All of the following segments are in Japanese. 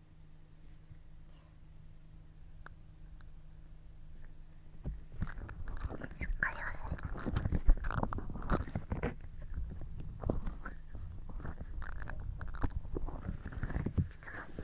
すっかり忘れてちょっと待って。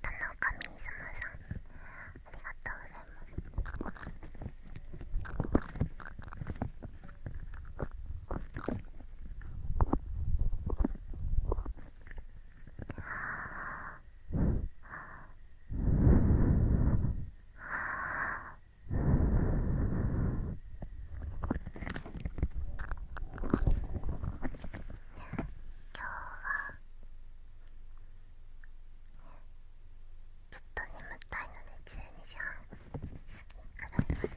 田中みーさんありがとうございますあ今日はずっと眠たいので12時半過ぎからいまです。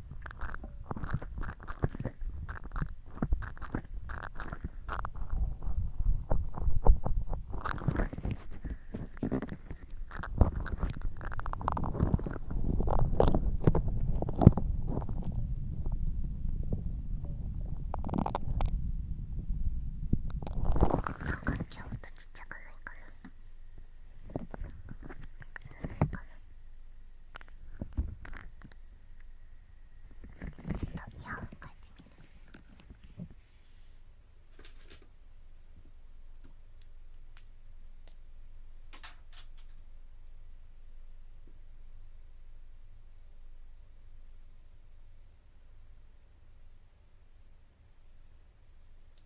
今日とちっちゃくないからちょっとイヤホン変えてみる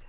ス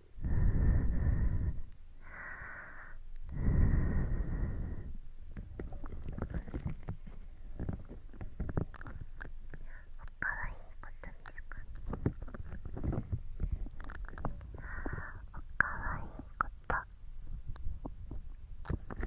かわいいことですかおかわいいことおいいと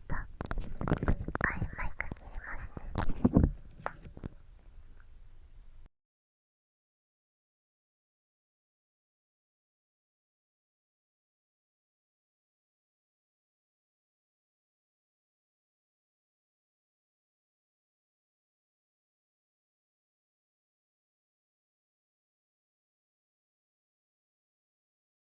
た一回マイク見えますね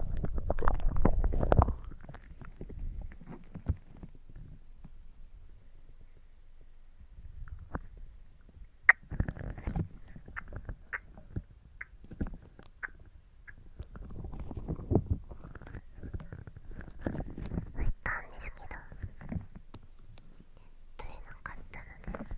行ったんですけど取れなかったので。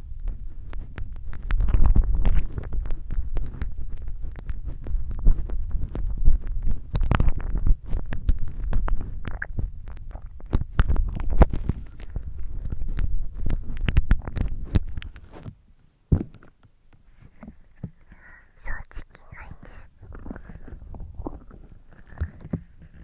正直ないんです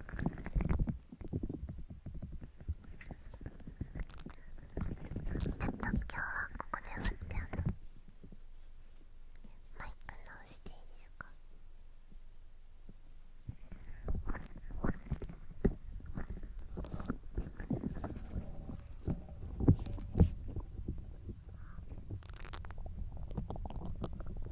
ちょっと今日はここで待ってあのマイク直していいですか今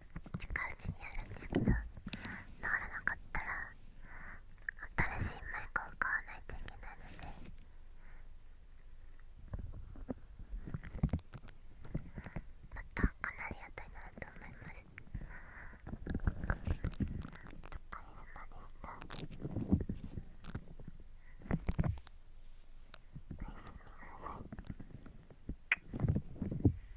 近いうちにやるんですけど治らなかったら新しいマイクを買わないといけないのでまたかなり後になると思いますおかげさまでしたおやすみなさい